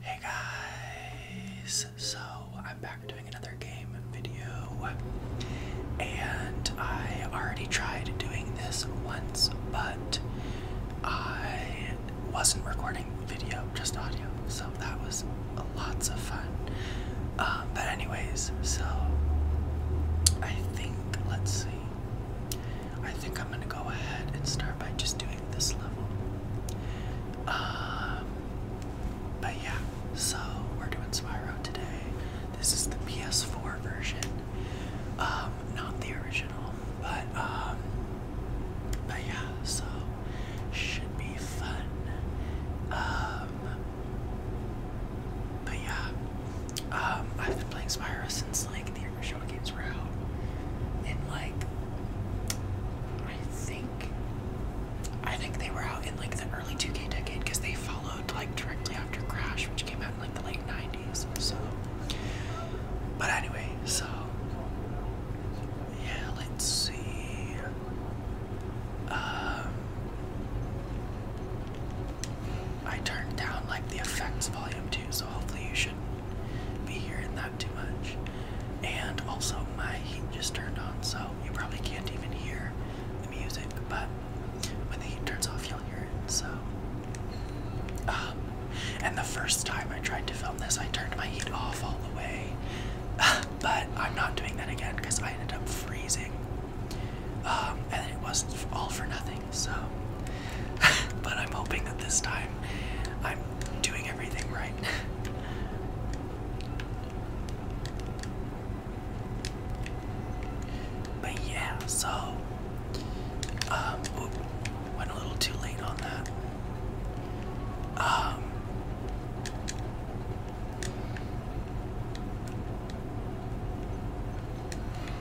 Hey guys, so I'm back doing another game video, and I already tried doing this once, but I wasn't recording video, just audio, so that was lots of fun. Um, but, anyways, so I think, let's see, I think I'm gonna go ahead and start by just doing this level. Um, but yeah, so we're doing Spyro today. This is the PS4 version, um, not the original, but um, but yeah, so should be fun. but yeah, I've been playing Spyro since like the original. Kershaw gets Rao. And like I think I think they were out in like the early 2K decade because they followed like directly after Crash, which came out in like the late 90s. So but anyway, so yeah, let's see. Um I turned down like the effects volume too, so hopefully you shouldn't be hearing that too much. And also, my heat just turned on, so you probably can't even hear the music, but when the heat turns off, you'll hear it. So, um, and the first time I tried to film this, I turned my heat off all the way, but I'm not doing that again because I ended up freezing. Um, and it was all for nothing, so. but I'm hoping that this time I'm doing everything right. but yeah, so um went a little too late on that. Um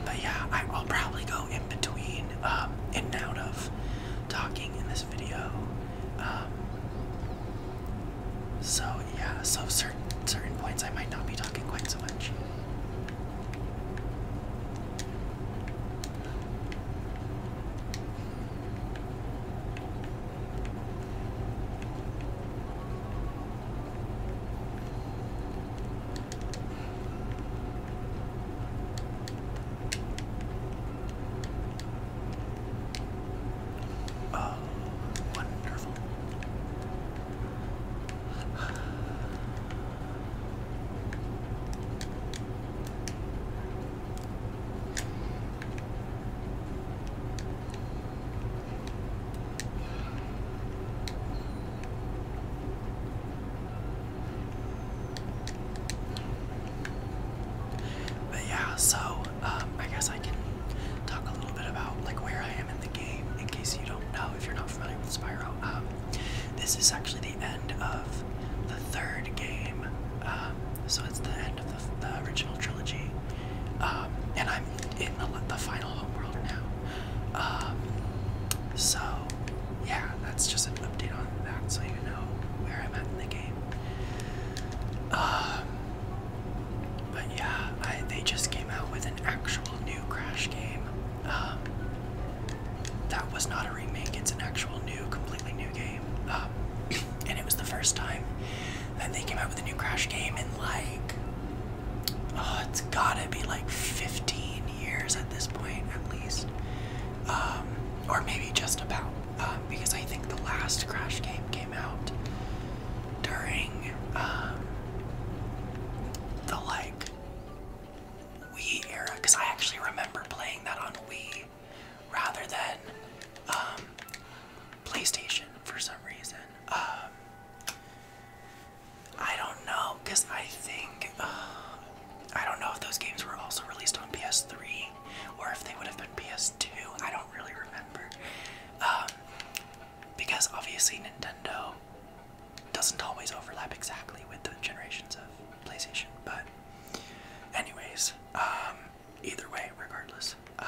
But yeah, I will probably go in between um in and out of talking in this video. Um, so yeah, so certain certain points I might not be talking quite so much. Oh, wonderful. But yeah, so um, I guess I can talk a little bit about like where I am in the game in case you don't know if you're not familiar with Spyro. Um, this is actually the end of the third game, um, so it's the end of the, original trilogy, and I'm in the, the final homeworld now. so yeah, that's just an update on that, so you know where I'm at in the game. Um, but yeah, they just came out with an actual new Crash game. Um, that was not a remake, it's an actual new, completely new game. Um, and it was the first time that they came out with a new Crash game in like, oh, it's gotta be like 15 years at this point, at least. or maybe just about. Um, because I think the last Crash game came out during um, the like Wii era. Because I actually remember playing that on Wii rather than um, PlayStation for some reason. I don't know, because I think. Uh, I don't know if those games were also released on PS3 or if they would have been PS2. I don't really remember. Um, because obviously Nintendo doesn't always overlap exactly with the generations of PlayStation. But, anyways, um, either way, regardless. Um,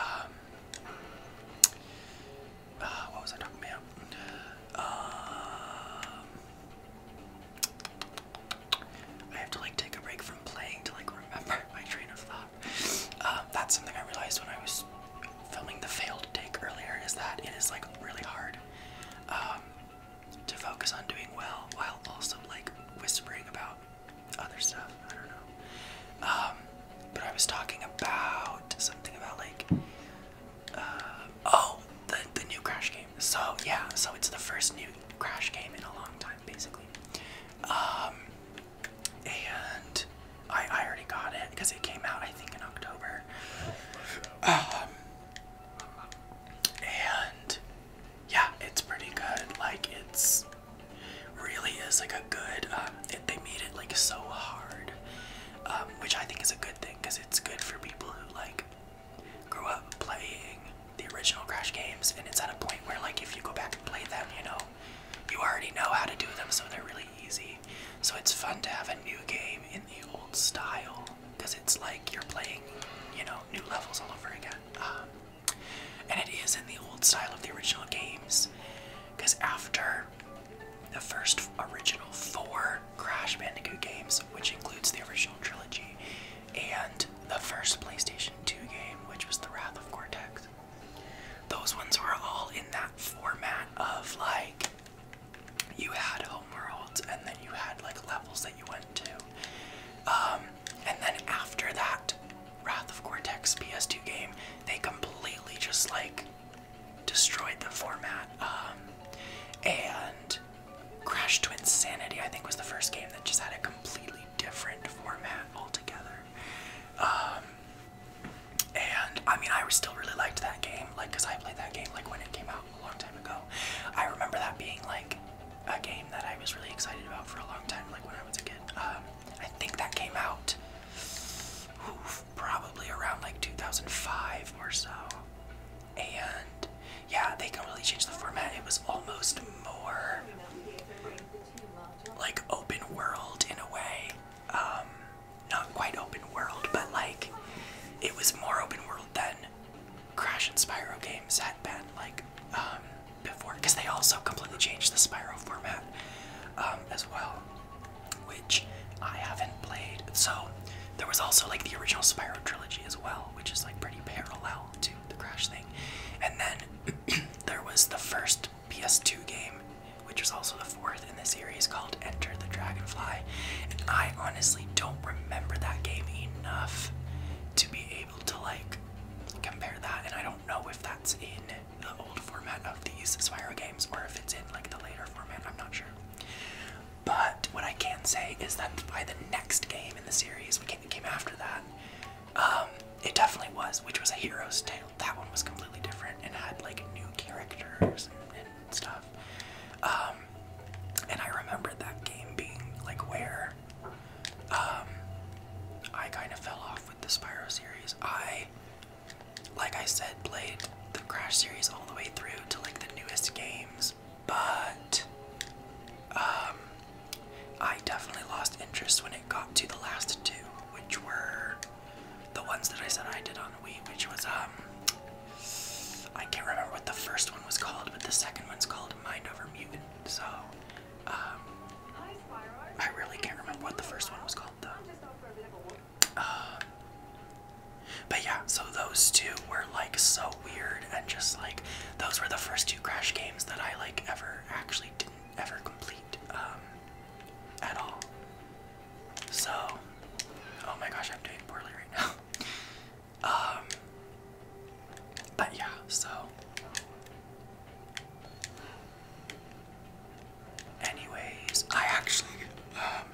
uh, what was I talking about? I have to like take a break from playing to like remember my train of thought. Um, that's something I realized when I was filming the failed take earlier is that it is like really hard um, to focus on doing well while also like whispering about other stuff. I don't know. Um, but I was talking about something about like uh, oh the the new Crash game. So yeah, so it's the first new Crash game in a long time, basically. Um, and I, I already got it because it came out, I think, in October. Um, and yeah, it's pretty good. Like, it's really is like a good. Um, it, they made it like so hard, um, which I think is a good thing because it's good for people who like grew up playing the original Crash games, and it's at a point where like if you go back and play them, you know, you already know how to do them, so they're really easy. So it's fun to have a new game in the old style because it's like you're playing, you know, new levels all over again. Um, and it is in the old style of the original games because after the first original four Crash Bandicoot games, which includes the original trilogy, and the first PlayStation 2 game, which was The Wrath of Cortex. Those ones were all in that format of like you had home worlds, and then you had like levels that you went to. Um, and then after that Wrath of Cortex PS2 game, they completely just like destroyed the format. Um, and crashed to Insanity, I think, was the first game that just had it completely different format altogether. Um, and I mean, I still really liked that game, like, I played that game like when it came out a long time ago. I remember that being like a game that I was really excited about for a long time, like when I was a kid. Um, I think that came out probably around like 2005 or so. And yeah, they can really change the format. It was almost more like open world in a way. Um, not quite open world, but like it was more open world than Crash and Spyro games had been like um, before, because they also completely changed the Spyro format um, as well, which I haven't played. So there was also like the original Spyro trilogy as well, which is like pretty parallel to the Crash thing, and then there was the first PS2 game, which was also the fourth in the series, called Enter the Dragonfly. And I honestly don't remember that game enough to be able to like compare that. And I don't know if that's in the old format of these Spyro games or if it's in like the later format. I'm not sure. But what I can say is that by the next game in the series, what came after that, um, it definitely was, which was a hero's tale. That one was completely different and had like new characters and, stuff. Um, and I remember that game being like where um, I kind of fell off with the Spyro series. I, like I said, played the Crash series all the way through to like the newest games, but I definitely lost interest when it got to the last two, which were the ones that I said I did on Wii, which was um I can't remember what the first one was called, but the second one's called Mind Over Mutant. So um I really can't remember what the first one was called though. Um, but yeah, so those two were like so weird and just like those were the first two Crash games that I like ever actually didn't ever complete um, at all. So, oh my gosh, I'm doing poorly right now. um, but yeah, so. Anyways, I actually um,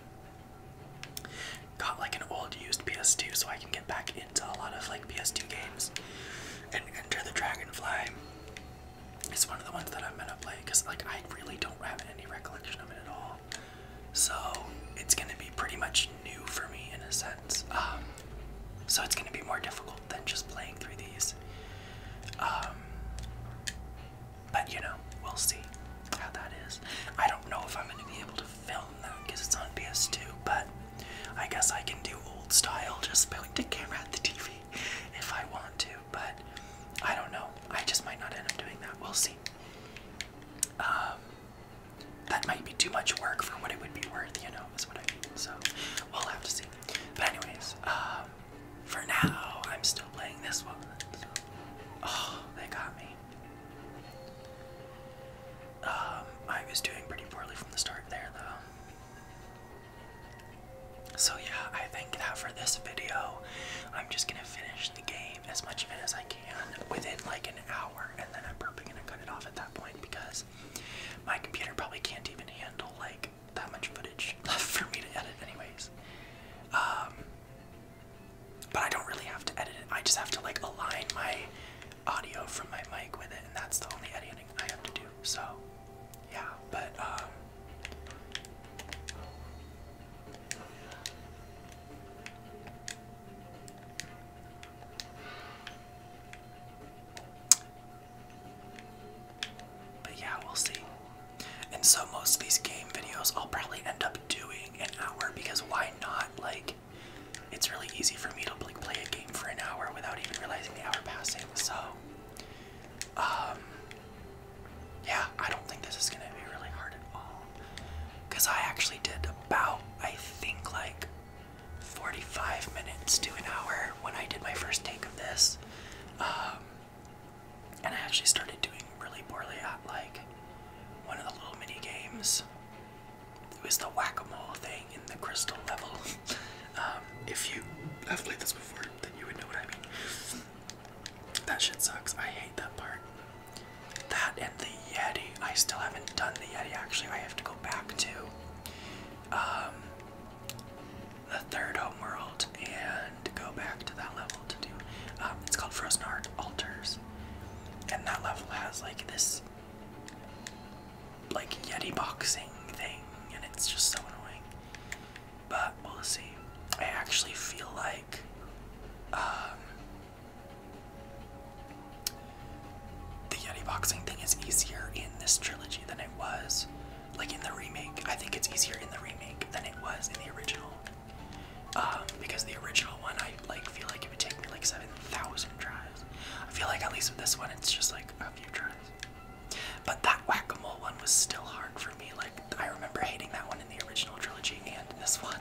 got like an old used PS2 so I can get back into a lot of like PS2 games. And Enter the Dragonfly It's one of the ones that I'm gonna play because like I really don't have any recollection of it at all. So it's gonna be pretty much new for me in a sense. Um, so it's gonna be more difficult than just playing through these. Um, but you know, we'll see how that is. I don't know if I'm gonna be able to film that because it's on PS2, but I guess I can do old style, just point the camera at the TV if I want to, but I don't know. I just might not end up doing that. We'll see. Um, that might be too much work for what it would be worth, you know, is what I mean. So we'll have to see. But anyways, um, for now, I'm still playing this one. Oh, they got me. Um, I was doing pretty poorly from the start there, though. So, yeah, I think that for this video, I'm just gonna finish the game as much of it as I can within like an hour, and then I'm probably gonna cut it off at that point because my computer probably can't even handle like that much footage left for me to edit, anyways. Um, but I don't really have to edit it, I just have to like align my audio from my mic with it, and that's the only editing I have to do. So, yeah, but um but yeah, we'll see. And so most of these game videos I'll probably end up doing an hour because why not? Like it's really easy for me to like play a game for an hour without even realizing the hour passing. So um, yeah, I don't think this is gonna be really hard at all. Cause I actually did about, I think like 45 minutes to an hour when I did my first take of this. Um, and I actually started doing really poorly at like one of the little mini games. It was the whack-a-mole thing in the crystal level. Um, if you have played this before, then you would know what I mean. That shit sucks. I hate that part. That and the Yeti. I still haven't done the Yeti actually. I have to go back to um, the third home world and go back to that level to do. Um, it's called Frozen Heart Altars. And that level has like this like Yeti boxing thing, and it's just so annoying. But we'll see. I actually feel like um, the Yeti boxing thing is easier in this trilogy than it was, like in the remake. I think it's easier in the remake than it was in the original. Um, because the original one, I like feel like it would take me like seven thousand tries. I feel like at least with this one, it's just like a few tries. But that whack-a-mole one was still hard for me. Like I remember hating that one in the original trilogy and this one.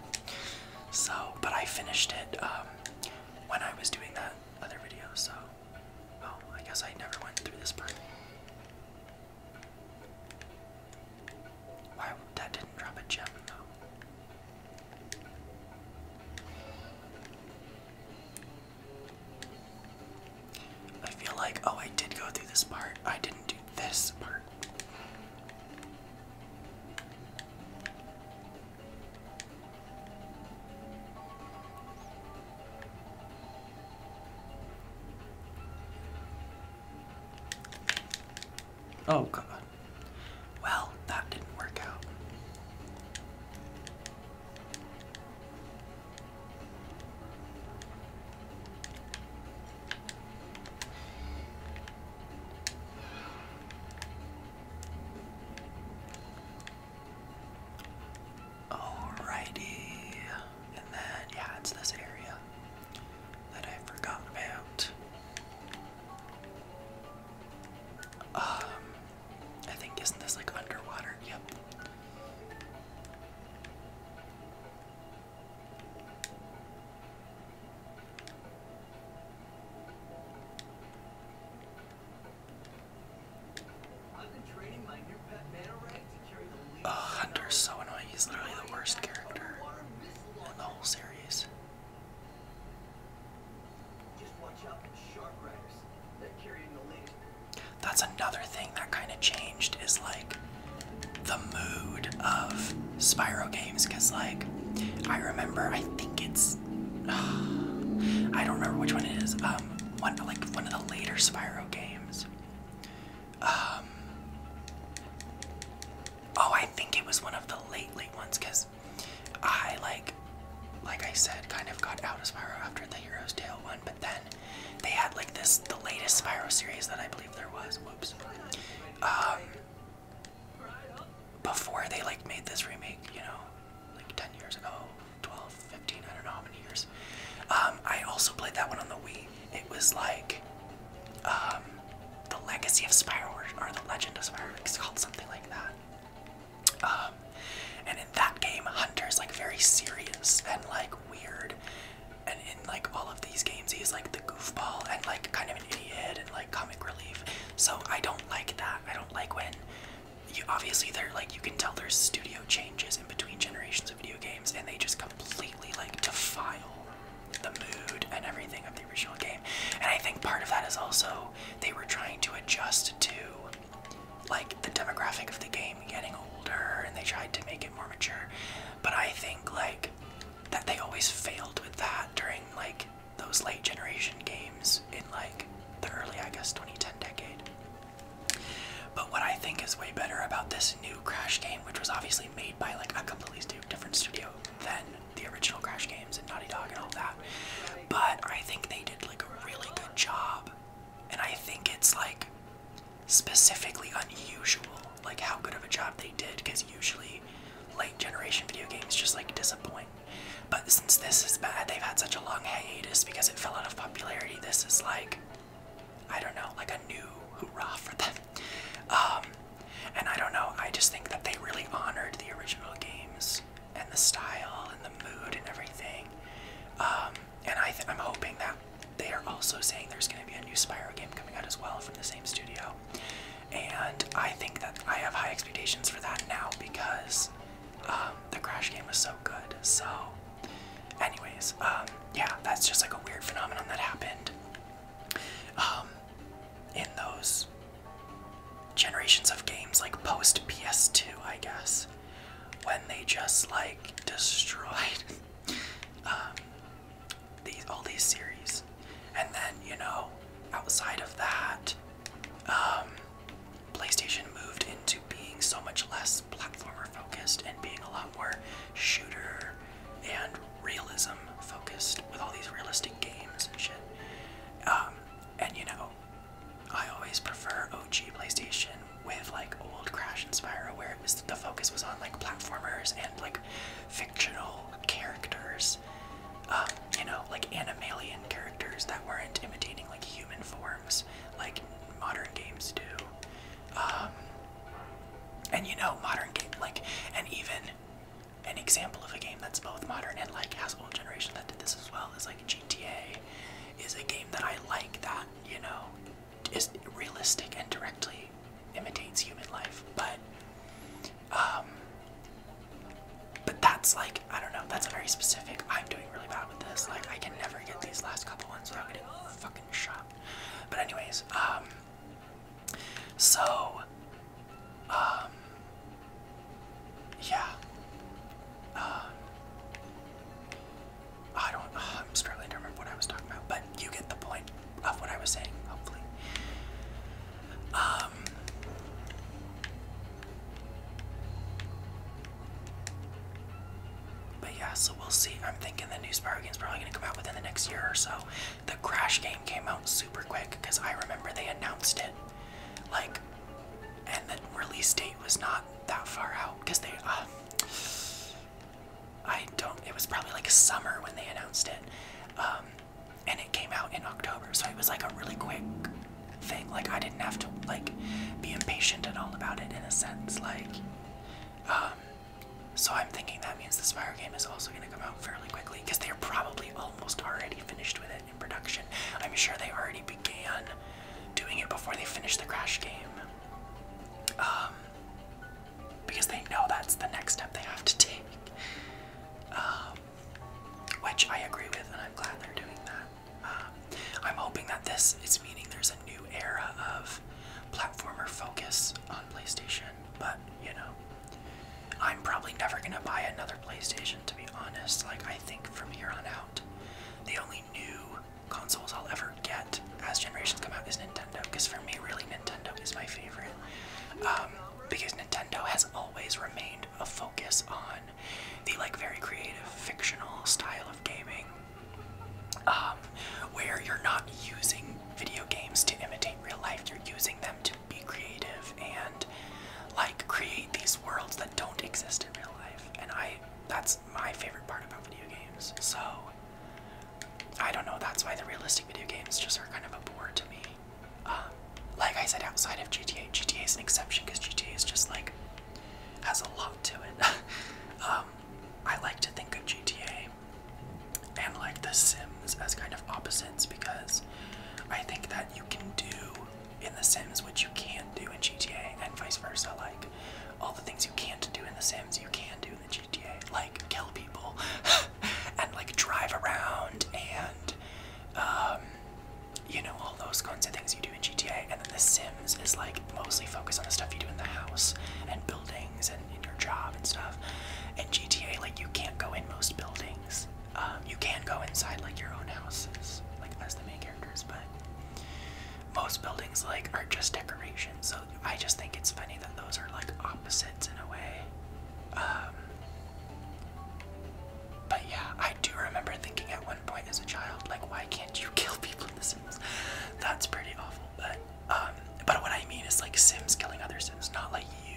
So, but I finished it um, when I was doing that other video. So, oh, I guess I never went through this part. Why that didn't drop a gem though? I feel like, oh, I did go through this part. I didn't do this part. Oh, God. Well, that didn't work out. Alrighty, and then yeah, it's this area that I have forgotten about. Um, I think isn't this like underwater? Yep. Oh, Hunter's so annoying. He's literally the worst character in the whole series. That's another thing that kind of changed is like the mood of Spyro games because, like, I remember, I think it's, I don't remember which one it is, um, one, like one of the later Spyro games. Um, oh, I think it was one of the late, late ones because I, like, like I said, kind of got out of Spyro after the Hero's Tale one, but then they had like this, the latest Spyro series that I believe there was. Whoops. Um, before they like made this remake, you know, like 10 years ago, 12, 15, I don't know how many years. Um, I also played that one on the Wii. It was like, um, the Legacy of Spyro or, the Legend of Spyro. It's called something like that. And in that game, Hunter's like very serious and like weird. And in like all of these games, he's like the goofball and like kind of an idiot and like comic relief. So I don't like that. I don't like when you obviously they're like you can tell there's studio changes in between generations of video games and they just completely like defile the mood and everything of the original game. And I think part of that is also they were trying to adjust to like the demographic of the game getting older and they tried to make it more mature but i think like that they always failed with that during like those late generation games in like the early i guess 2010 decade but what i think is way better about this new crash game which was obviously made by like a completely different studio than the original crash games and naughty dog and all that but i think they did like a really good job and i think it's like specifically unusual, like how good of a job they did, because usually late generation video games just like disappoint. But since this is bad, they've had such a long hiatus because it fell out of popularity. This is like, I don't know, like a new hoorah for them. Um, and I don't know, I just think that they really honored the original games and the style and the mood and everything. Um, and I am hoping that they are also saying there's going to be a new Spyro game coming out as well from the same studio. And I think that I have high expectations for that now because um, the Crash game was so good. So, anyways, um, yeah, that's just like a weird phenomenon that happened um, in those generations of games, like post PS2, I guess when they just like destroyed um, these all these series, and then you know, outside of that, um, PlayStation moved into being so much less platformer focused and being a lot more shooter and realism focused with all these realistic games and shit. Um, and you know, I always prefer OG PlayStation with like old Crash and Spyro, where it was the focus was on like platformers and like fictional characters, um, you know, like animalian characters that weren't imitating like human forms, like modern games do. Um, and you know, modern game like, and even an example of a game that's both modern and like has old generation that did this as well is like GTA is a game that I like that, you know, is realistic and directly imitates human life, but um but that's like I don't know, that's very specific. I'm doing really bad with this. Like I can never get these last couple ones without getting a fucking shot. But anyways, um so um yeah. Um, I don't. Uh, I'm struggling to remember what I was talking about, but you get the point of what I was saying. Hopefully. Um, but yeah, so we'll see. I'm thinking the new Spyro is probably gonna come out within the next year or so. The Crash game came out super quick because I remember they announced it, like, and the release date was not that far out because they, uh, I don't. It was probably like summer when they announced it, um, and it came out in October. So it was like a really quick thing. Like I didn't have to like be impatient at all about it in a sense. Like, um, so I'm thinking that means the Spyro game is also going to come out fairly quickly because they're probably almost already finished with it in production. I'm sure they already began doing it before they finished the Crash game. Um, because they know that's the next step they have to take. Um, which I agree with, and I'm glad they're doing that. Um, I'm hoping that this is meaning there's a new era of platformer focus on PlayStation, but you know, I'm probably never gonna buy another PlayStation to be honest. Like, I think from here on out, the only new consoles I'll ever get as generations come out is Nintendo. Because for me, really, Nintendo is my favorite. Um, because Nintendo has always remained a focus on the like very creative fictional style of gaming, um, where you're not using video games to imitate real life. You're using them to be creative and like create these worlds that don't exist in real life. And I that's my favorite part about video games. So I don't know. That's why the realistic video games just are kind of a bore to me. Um, like I said, outside of GTA, GTA is an exception because GTA is just like has a lot to it. Um, I like to think of GTA and like The Sims as kind of opposites because I think that you can do in The Sims what you can do in GTA and vice versa. Like all the things you can't do in The Sims, you can do in the GTA, like kill people and like drive around and um, you know all those kinds of things you do in GTA. And then The Sims is like mostly focused on the stuff you do in the house and buildings and your job and stuff. And GTA, like you can't go in most buildings. Um, you can go inside like your own houses, like as the main characters, but most buildings like are just decorations. So I just think it's funny that those are like opposites in a way. Um, but yeah, I do remember thinking at one point as a child, like, why can't you kill people in The Sims? That's pretty awful. But um, but what I mean is like Sims killing other It's not like you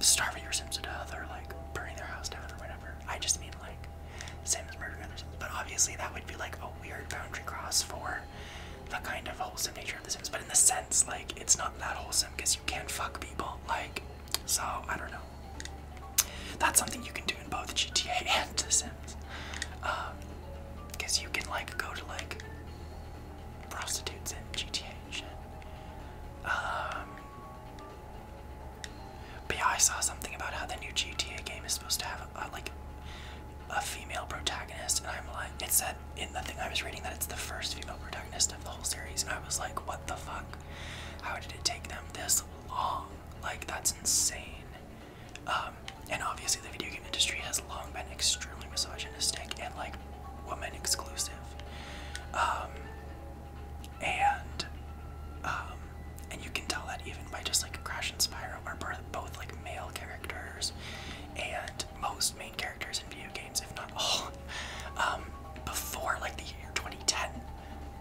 starving your Sims to death or like burning their house down or whatever. I just mean like Sims murdering others. But obviously that would be like a weird boundary cross for the kind of wholesome nature of The Sims, but in the sense, like, it's not that wholesome because you can't fuck people, like, so I don't know. That's something you can do in both GTA and The Sims, because um, you can like go to like prostitutes in GTA and Um, but I saw something about how the new GTA game is supposed to have uh, like a female protagonist, and I'm like, it said in the thing I was reading that it's the first female protagonist of the whole series, and I was like, what the fuck? How did it take them this long? Like, that's insane. Um, and obviously, the video game industry has long been extremely misogynistic and like woman exclusive. Um, and um, and you can tell that even by just like Crash and spiral or Birth both like male characters, and most main characters in video games, if not all, um, before like the year 2010,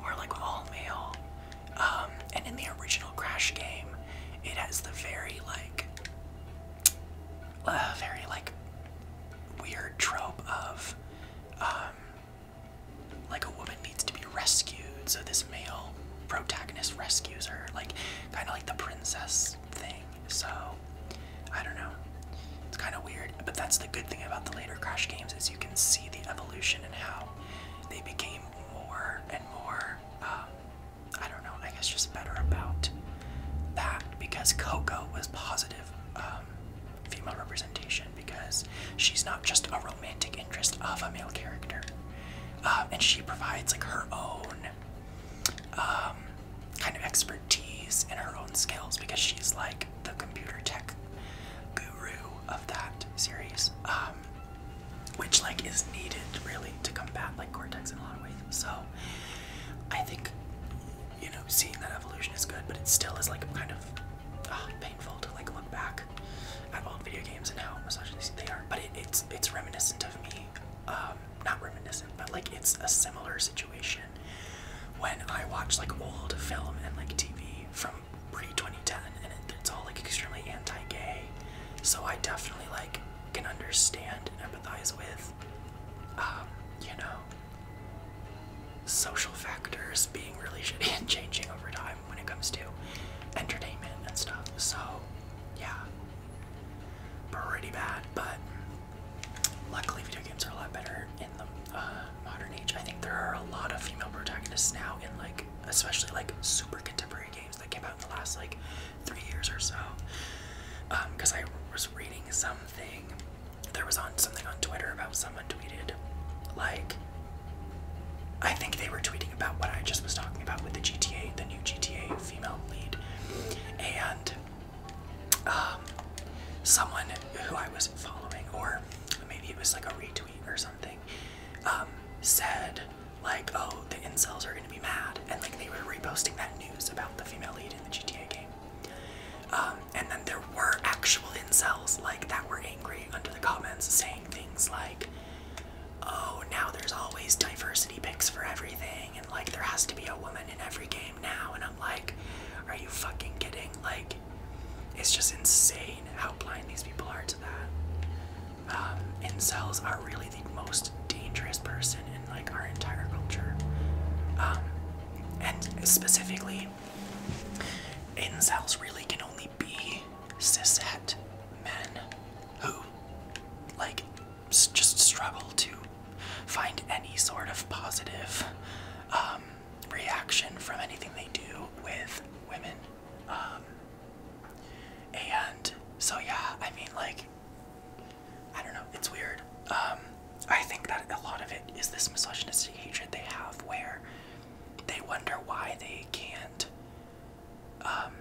were like all male. Um, and in the original Crash game, it has the very like, uh, very like weird trope of, um, like a woman needs to be rescued, so this male protagonist rescues her. Like kind of like the princess thing. So I don't know. It's kind of weird, but that's the good thing about the later Crash games is you can see the evolution and how they became more and more. Um, I don't know. I guess just better about that because Coco was positive um, female representation because she's not just a romantic interest of a male character. Uh, and she provides like her own um, kind of expertise and her own skills because she's like the computer tech guru of that series, um, which like is needed really to combat like Cortex in a lot of ways. So I think you know seeing that evolution is good, but it still is like kind of uh, painful to like look back at old video games and how misogynistic they are. But it, it's it's reminiscent of reminiscent of me. Um, not reminiscent, but like it's a similar situation when I watch like old film and like TV from pre 2010, and it's all like extremely anti-gay. So I definitely like can understand and empathize with, um, you know, social factors being really shitty and changing over time when it comes to entertainment and stuff. So yeah, pretty bad, but luckily video games are a lot better in the uh, modern age. I think there are a lot of female protagonists now in like, especially like super contemporary games that came out in the last like three years or so. Because um, I was reading something, there was on something on Twitter about someone tweeted like, I think they were tweeting about what I just was talking about with the GTA, the new GTA female lead, and um, someone who I was following, or maybe it was like a retweet or something, um, said like, "Oh, the incels are gonna be mad," and like they were reposting that news about the female lead in the GTA game. Um, and then there were actual incels like that were angry under the comments saying things like oh, now there's always diversity picks for everything, and like there has to be a woman in every game now. And I'm like, are you fucking kidding? Like, it's just insane how blind these people are to that. Um, incels are really the most dangerous person in like our entire culture. Um, and specifically, incels really can only be cishet men who like just struggle to find any sort of positive um, reaction from anything they do with women. Um, and so, yeah, I mean, like, I don't know, it's weird. Um, I think that a lot of it is this misogynistic hatred they have where they wonder why they can't um,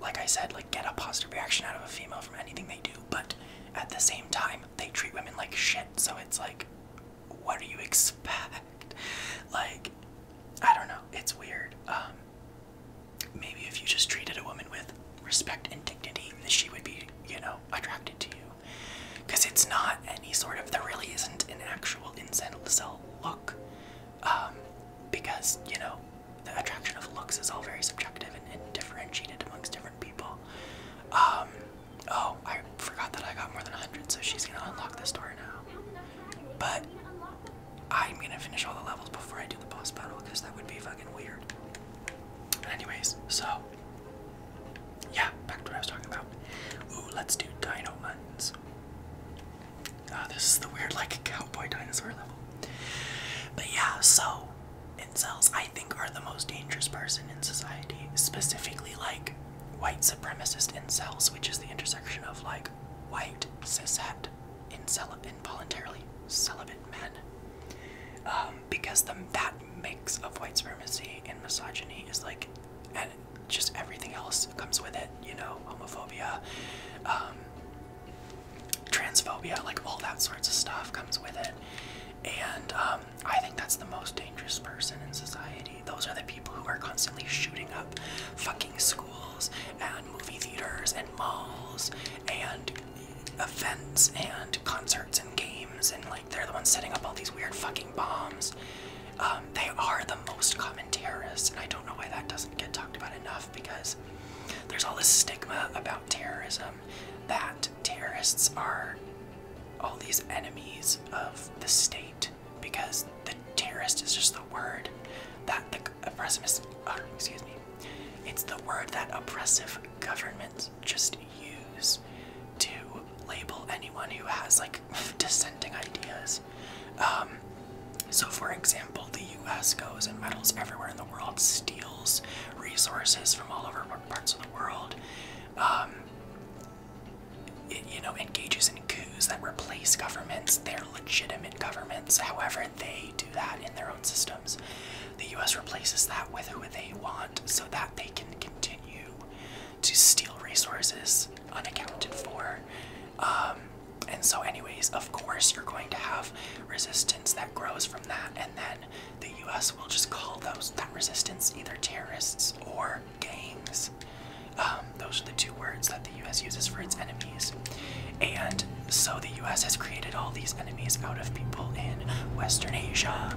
like I said, like get a positive reaction out of a female from anything they do, but at the same time, they treat women like shit, so it's like, what do you expect? Like, I don't know, it's weird. Um, maybe if you just treated a woman with respect and dignity, that she would be, you know, attracted to you. Because it's not any sort of, there really isn't an actual to sell look. Um, because, you know, the attraction of looks is all very subjective and, differentiated amongst different people. Um, oh, I forgot that I got more than 100, so she's gonna unlock this door now. But I'm gonna finish all the levels before I do the boss battle because that would be fucking weird. Anyways, so yeah, back to what I was talking about. Ooh, let's do dino ones. Ah, this is the weird, like, cowboy dinosaur level. But yeah, so incels, I think, are the most dangerous person in society. Specifically, like, white supremacist incels, which is the intersection of, like, white, cishet, incel involuntarily celibate men. Um, because the, that mix of white supremacy and misogyny is, like, and just everything else comes with it, you know, homophobia, um, transphobia, like all that sorts of stuff comes with it. And um, I think that's the most dangerous person in society. Those are the people who are constantly shooting up fucking schools and movie theaters and malls and events and concerts and games and like they're the ones setting up all these weird fucking bombs. Um, they are the most common terrorists, and I don't know why that doesn't get talked about enough because there's all this stigma about terrorism that terrorists are all these enemies of the state because the terrorist is just the word that the oppressive uh, excuse me it's the word that oppressive governments just use to label anyone who has like dissenting ideas um, so, for example, the US goes and metals everywhere in the world, steals resources from all over parts of the world, um, you know, engages in coups that replace governments, their legitimate governments, however, they do that in their own systems. The US replaces that with who they want so that they can continue to steal resources unaccounted for. Um, and so, anyways, of course, you're going to have resistance that grows from that, and then the U.S. will just call those that resistance either terrorists or gangs. Um, those are the two words that the U.S. uses for its enemies. And so, the U.S. has created all these enemies out of people in Western Asia,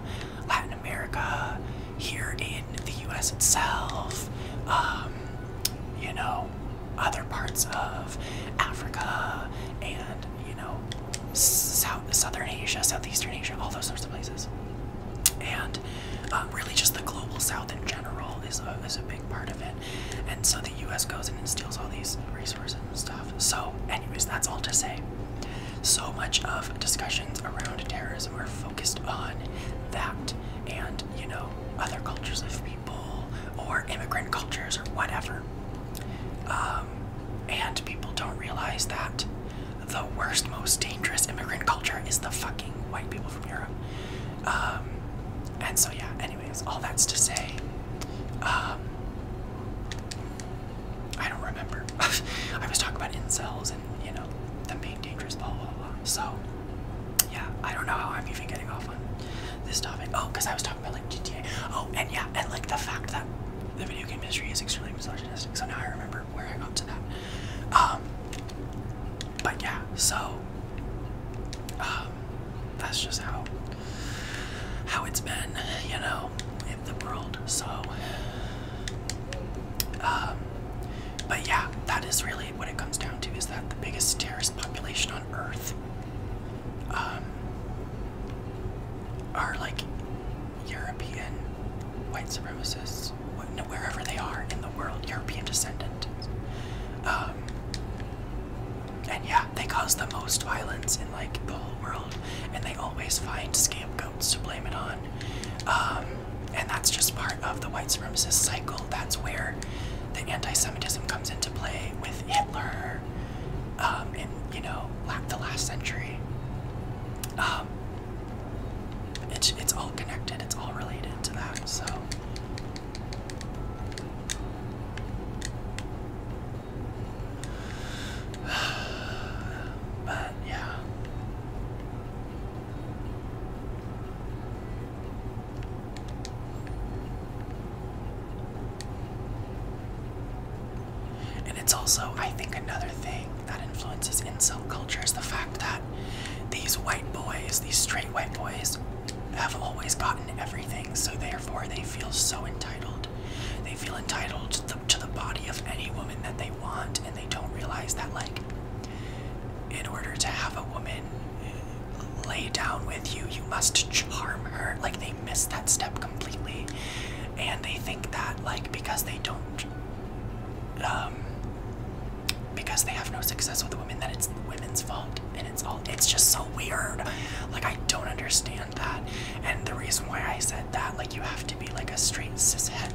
Latin America, here in the U.S. itself. Um, you know, other parts of Africa and, you know, South, Southern Asia, Southeastern Asia, all those sorts of places. And um, really just the global South in general is a, is a big part of it. And so the US goes in and steals all these resources and stuff. So anyways, that's all to say. So much of discussions around terrorism are focused on that and, you know, other cultures of people people or immigrant cultures or whatever. Um, and people don't realize that the worst, most dangerous immigrant culture is the fucking white people from Europe. Um, and so, yeah, anyways, all that's to say, um, I don't remember. I was talking about incels and, you know, them being dangerous, blah, blah, blah. So, yeah, I don't know how I'm even getting off on this topic. Oh, because I was talking. Oh, and yeah, and like the fact that the video game industry is extremely misogynistic. So now I remember where I got to that. Um, but yeah, so um, that's just how how it's been, you know, in the world. So, um, but yeah, that is really what it comes down to. Is that the biggest terrorist population on Earth um, are like European white supremacists, wherever they are in the world, European descendant. Um, and yeah, they cause the most violence in like the whole world, and they always find scapegoats to blame it on. Um, and that's just part of the white supremacist cycle. That's where the anti Semitism comes into play with Hitler um, in you know the last century. Um, it's it's all connected. It's all related to that. So. But yeah. And it's also, I think, another thing that influences incel culture is the fact that these white boys, these straight white boys, have always gotten everything, so therefore they feel so entitled. They feel entitled to the, to the body of any woman that they want, and they don't realize that, like, in order to have a woman lay down with you, you must charm her. Like, they miss that step completely and they think that like because they don't um because they have no success with women that it's women's fault and it's all it's just so weird like i don't understand that and the reason why i said that like you have to be like a straight cishet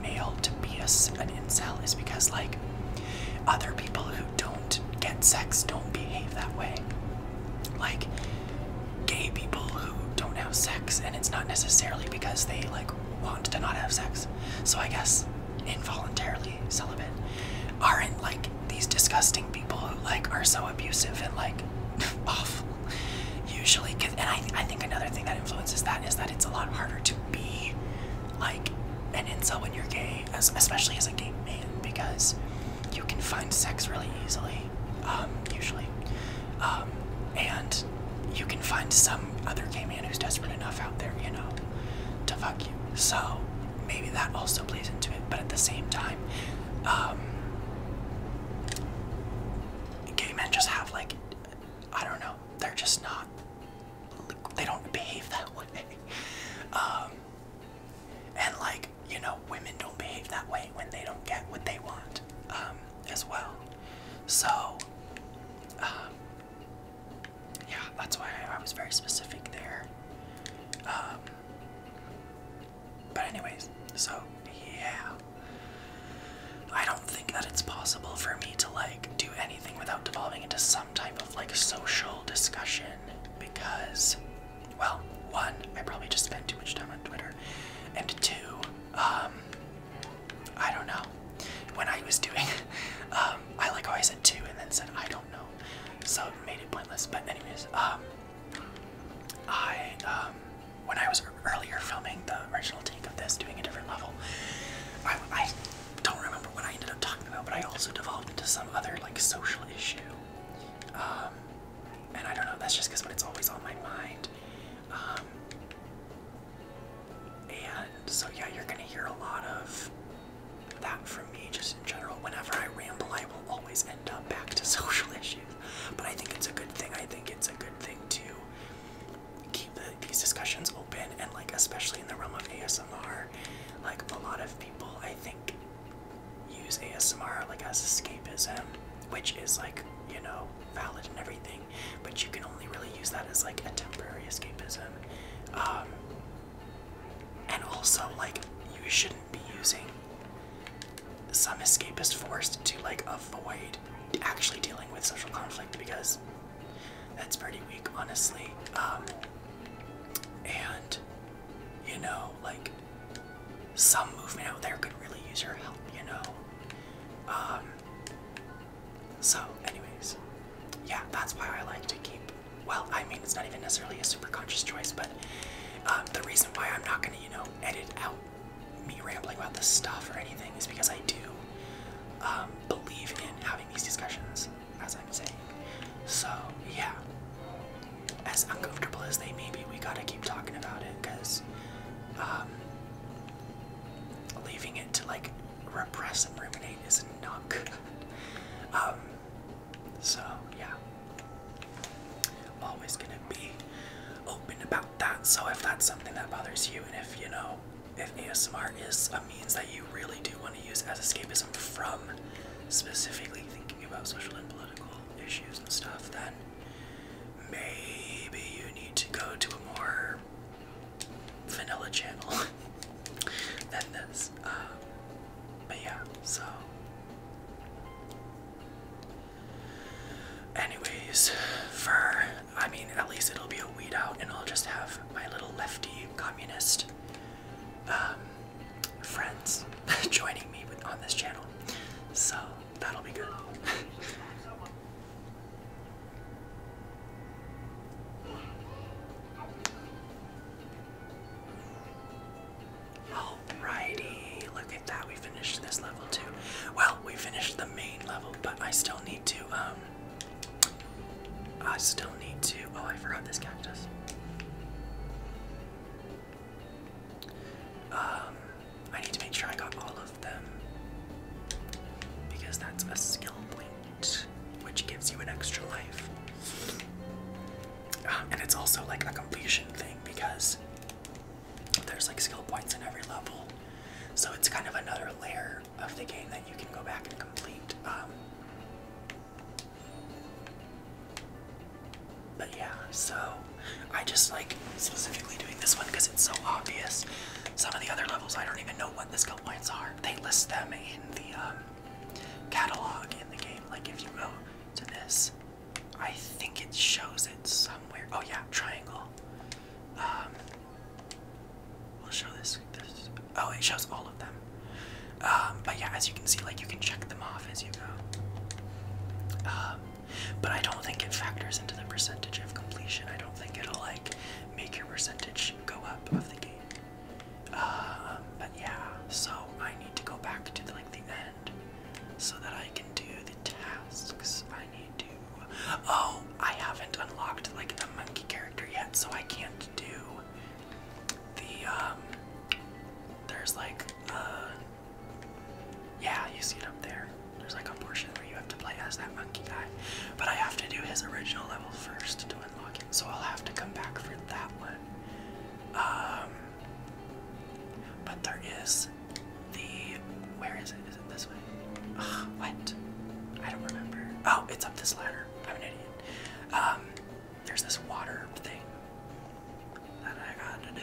male to be a, an insel is because like other people who don't get sex don't behave that way like gay people who don't have sex, and it's not necessarily because they like want to not have sex. So I guess involuntarily celibate aren't like these disgusting people who like are so abusive and like awful. Usually, cause, and I, I think another thing that influences that is that it's a lot harder to be like an insult when you're gay, as, especially as a gay man, because you can find sex really easily, um, usually. Um, and you can find some other gay man who's desperate enough out there, you know, to fuck you. So maybe that also plays into it, but at the same time, um, gay men just have like, I don't know, they're just not, they don't behave that way. and like, you know women don't behave that way when they don't get what they want um, as well so um, yeah that's why I was very specific there um, but anyways so yeah I don't think that it's possible for me to like do anything without devolving into some type of like social discussion because well, one, I probably just spent too much time on Twitter, and two, um, I don't know. When I was doing, um, I like I said two and then said I don't know, so it made it pointless. But anyways, um, I um, when I was earlier filming the original take of this, doing a different level, I, I don't remember what I ended up talking about, but I also devolved into some other like social issue. Um, and I don't know. That's just because it's always on my mind. Um, and so yeah, you're gonna hear a lot of that from me, just in general. Whenever I ramble, I will always end up back to social issues. But I think it's a good thing. I think it's a good thing to keep these discussions open, and like especially in the realm of ASMR, like a lot of people, I think use ASMR like as escapism, which is like, you know, valid and everything, but you can only really use that as like a temporary escapism. Um, and also, like, you shouldn't be using some escapist forced to like avoid actually dealing with social conflict because that's pretty weak, honestly. Um, and you know, like, some movement out there could really use your help, you know. Um, so, anyways, yeah, that's why I like to keep. Well, I mean, it's not even necessarily a super conscious choice, but um, the reason why I'm not gonna, you know, edit out me rambling about this stuff or anything is because I do um, believe in having these discussions, as I'm saying. So, yeah as uncomfortable as they may be, we gotta keep talking about it because um, leaving it to like repress and ruminate is not good. Um, so yeah, always gonna be open about that. So if that's something that bothers you, and if you know if ASMR is a means that you really do want to use as escapism from specifically thinking about social and political issues and stuff, then maybe you need to go to a more vanilla channel than this. Um, but yeah, so. Anyways, for, I mean, at least it'll be a weed out and I'll just have my little lefty communist um, friends joining me on this channel. So that'll be good. Alrighty, look at that. We finished this level too. Well, we finished the main level, but I still need to, um, I still need to, oh, I forgot this cactus. Um, I need to make sure I got all of them because that's a skill point, which gives you an extra life. Ah, and it's also like a completion thing because there's like skill points in every level, so it's kind of another layer of the game that you can go back and complete. Um, but yeah, so I just like specifically doing this one because it's so obvious. Some of the other levels, I don't even know what the skill points are. They list them in the um, catalog in the game. Like if you go to this, I think it shows it somewhere. Oh yeah, triangle. Um, we'll show this. Oh, it shows all of them. Um, but yeah, as you can see, like you can check them off as you go. But I don't think it factors into the percentage of completion. I don't think it'll like make your percentage go up of the game. Um, but yeah, so I need to go back to the, like the end so that I can do the tasks. I need to. Oh, I haven't unlocked like the monkey character yet, so I can't do the um, There's like uh, yeah, you see it up there. There's like a portion where you have to play as that monkey guy. But I have to do his original level first to unlock it, so I'll have to come back for that one. Um, but there is the. Where is it? Is it this way? what? I don't remember. Oh, it's up this ladder. I'm an idiot. Um, there's this water thing that I gotta do.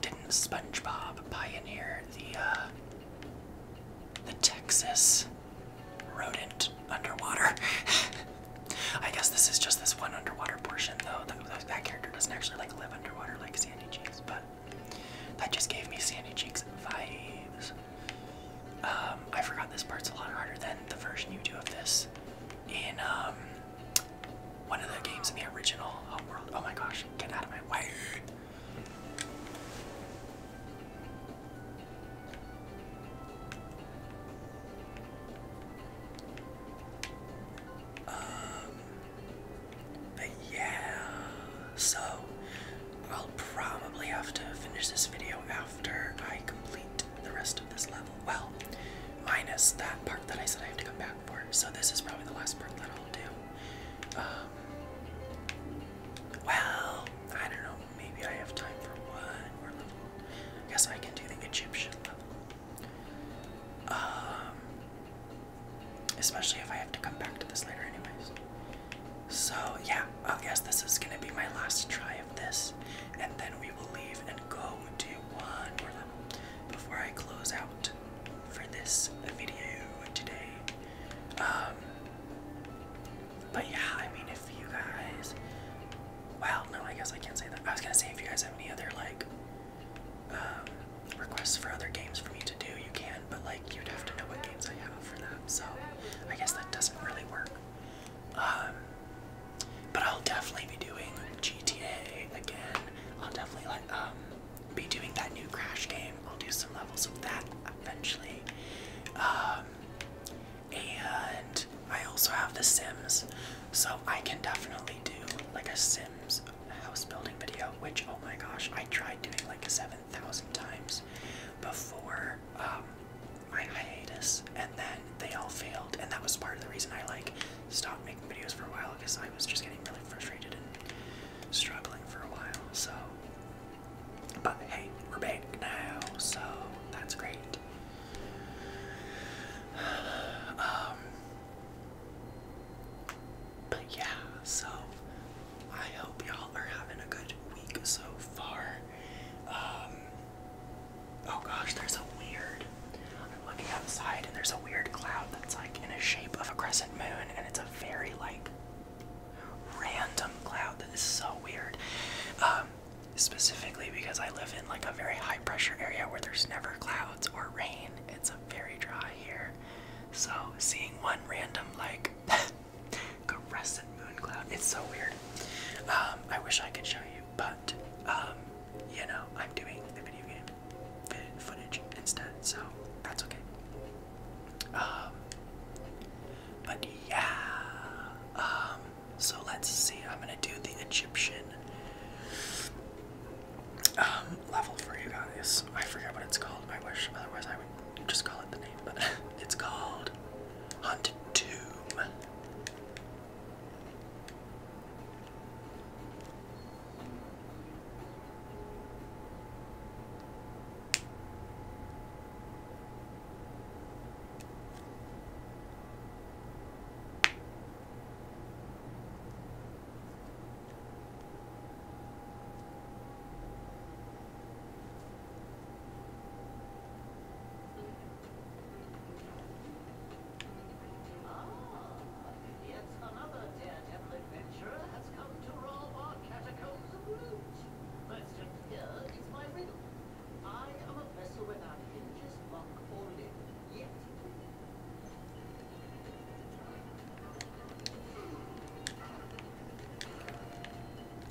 didn't SpongeBob pioneer the uh, the Texas rodent underwater? I guess this is just this one underwater portion, though. That, character doesn't actually like live underwater like Sandy Cheeks, but that just gave me Sandy Cheeks vibes. Um, I forgot this part's a lot harder than the version you do of this in um, one of the games in the original Homeworld. Oh my gosh, get out of my way! Um, but yeah, so I'll probably have to finish this video after I complete the rest of this level. Well, minus that part that I said I have to come back for. So this is probably the last part that I'll do. Um, well, I don't know. Maybe I have time for one more level. guess I can do the Egyptian level. Um, especially if I have to come back to this later, anyways. So yeah, I guess this is gonna be my last try of this, and then we will leave and go to one more level before I close out for this video today. Um, but yeah, I mean, if you guys, well, no, I guess I can't say that. I was gonna say if you guys have any other like um, requests for other games for me to do, you can, but like you'd have to know what games I have for them. So I guess that doesn't really work. Um, but I'll definitely be doing GTA again. I'll definitely like um be doing that new Crash game. I'll do some levels of that eventually. Um, and I also have The Sims, so I can definitely do like a Sims house building video, which oh my gosh, I tried doing like 7,000 times before um, my hiatus, and then they all failed, and that was part of the reason I like stopped making videos for a while because I was just getting really frustrated and struggling for a while. So but hey, we're back now, so that's great. Um, but yeah, so I hope y'all are having a good week so far. Um, oh gosh, there's a weird. I'm looking outside and there's a weird cloud that's like in a shape of a crescent moon, and it's a very like random cloud This is so weird. Um, specifically because I live in like a very high pressure area where there's never clouds or rain. It's a very dry here. So seeing one random like crescent moon cloud, it's so weird. Um, I wish I could show you, but um, you know, I'm doing the video game footage instead, so that's okay. Um, but yeah, um, so let's see. I'm gonna do the Egyptian um, level for you guys. I forget what it's called. I wish, otherwise I would just call it the name. But it's called Hunt Tomb. Ah, yet Another daredevil adventurer has come to rob our Catacombs of Loot.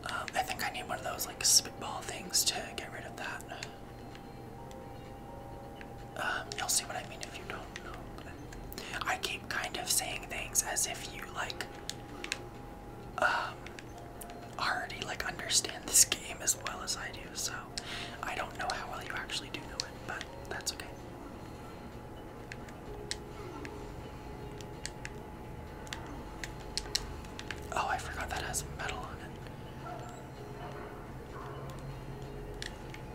Um, I think I need one of those like spitball things to get rid of that. Um, you'll see what I mean if you don't know. I keep kind of saying things as if you like um, already like understand this game as well as I do, so I don't know how well you actually do know it, but that's okay. Oh, I forgot that has metal on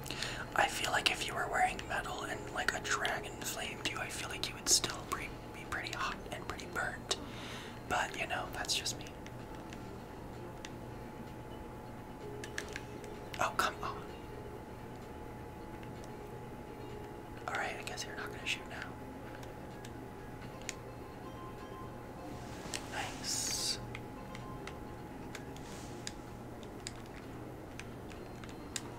it. I feel like if you were wearing metal and like a dragon flamed you, I feel like you would still be pretty hot and pretty burnt. But you know, that's just me. Oh, come on. Alright, I guess you're not gonna shoot now. Nice.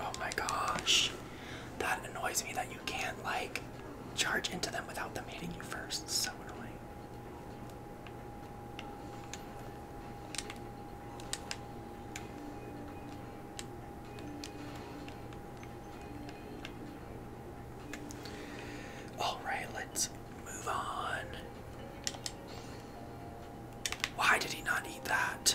Oh my gosh. That annoys me that you can't like charge into them without them hitting you first. so annoying. All right, let's move on. Why did he not eat that?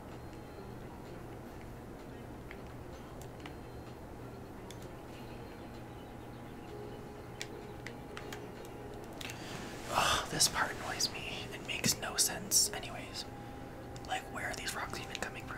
Oh, this part annoys me. It makes no sense, anyways. Like, where are these rocks even coming from?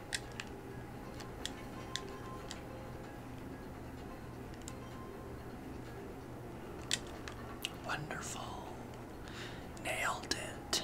Wonderful. Nailed it.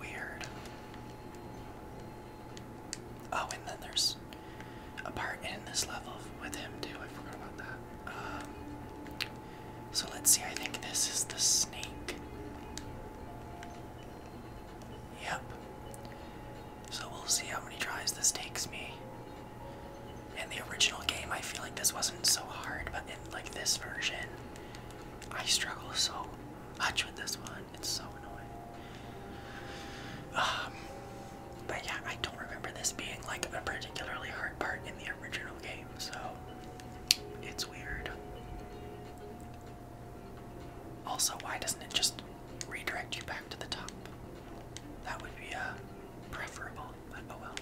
Weird. Oh, and then there's a part in this level with him too. I forgot about that. Um, so let's see. I think this is the snake. Yep. So we'll see how many tries this takes me. In the original game, I feel like this wasn't so hard, but in like this version, I struggle so much with this one. It's so annoying. Um, but yeah, I don't remember this being like a particularly hard part in the original game, so it's weird. Also, why doesn't it just redirect you back to the top? That would be uh, preferable, oh well.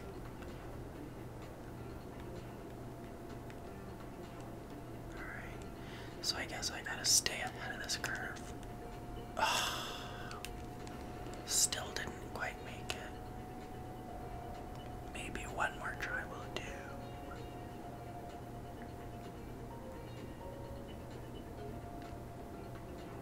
Alright, so I guess I gotta stay ahead of this curve. still didn't quite make it. Maybe one more try will do.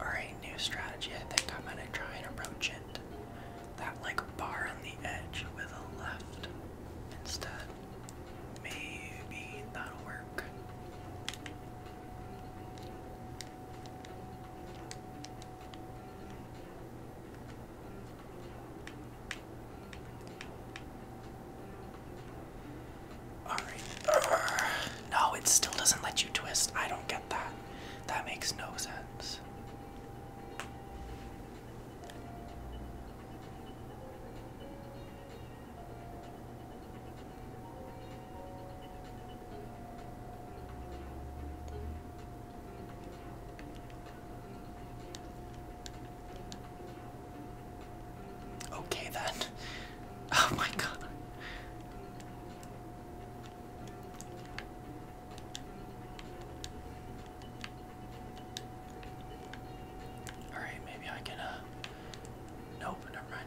Alright, new strategy. I think I'm gonna try and approach it. That like bar on the edge with a left instead. Maybe that'll work. Alright. no, it still doesn't let you twist. I don't get that. That makes no sense. Okay then. Oh my god. All right, maybe I can. Uh, nope, never mind.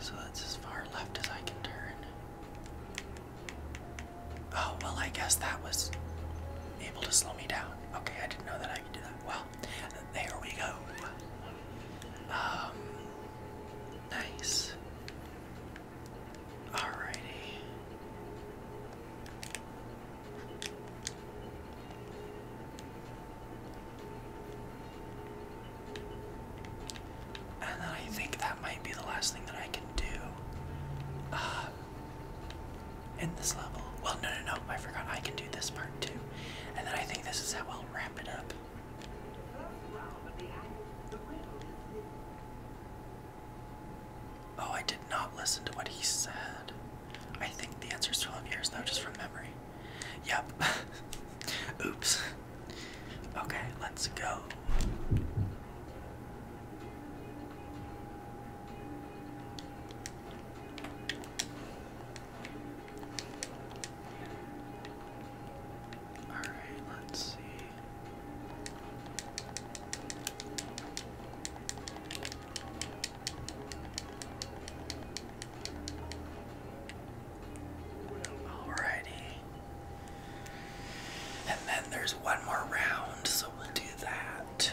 So that's as far left as I can turn. Oh, well, I guess that was able to slow me down. Okay, I didn't know that I could do that. Well, there we go. Um, nice. Alrighty. And then I think that might be the last thing that I can do uh, in this level. Well, no, no, no, I forgot I can do this part too. And then I think this is how we will wrap it up. Oh, I did not listen to what he said. I think the answer is 12 years, though, just from memory. Yep. Oops. Okay, let's go. All right, let's see. Alrighty. And then there's one more round, so we'll do that.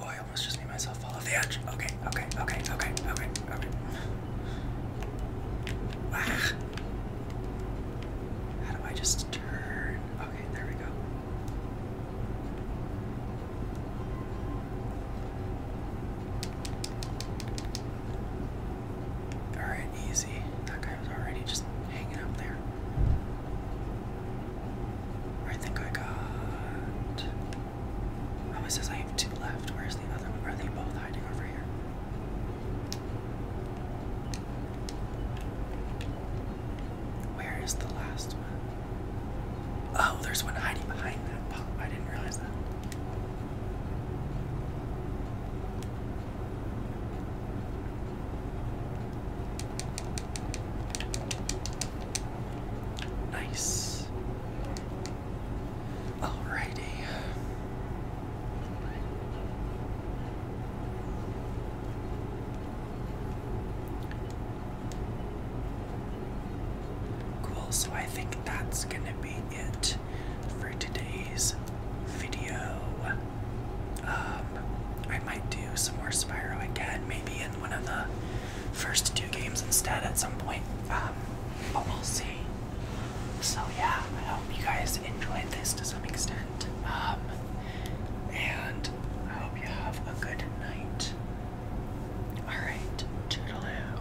Oh, I almost just made myself fall off the edge. Okay, okay, okay, okay, okay, okay. Ah. How do I just turn? Okay, there we go. Alright, easy. That guy was already just hanging up there. I think I got. Oh, it says I have two left. Where's the other Are they both hiding over here? Where is the last one? Oh, there's one hiding behind that pop. I didn't realize that. Nice. Alrighty. Cool, so I think that's gonna be it for today's video. Um, I might do some more Spyro again, maybe in one of the first two games instead at some point. Um, but we'll see. So yeah, I hope you guys enjoyed this to some extent. Um, and I hope you have a good night. Alright, toodaloo.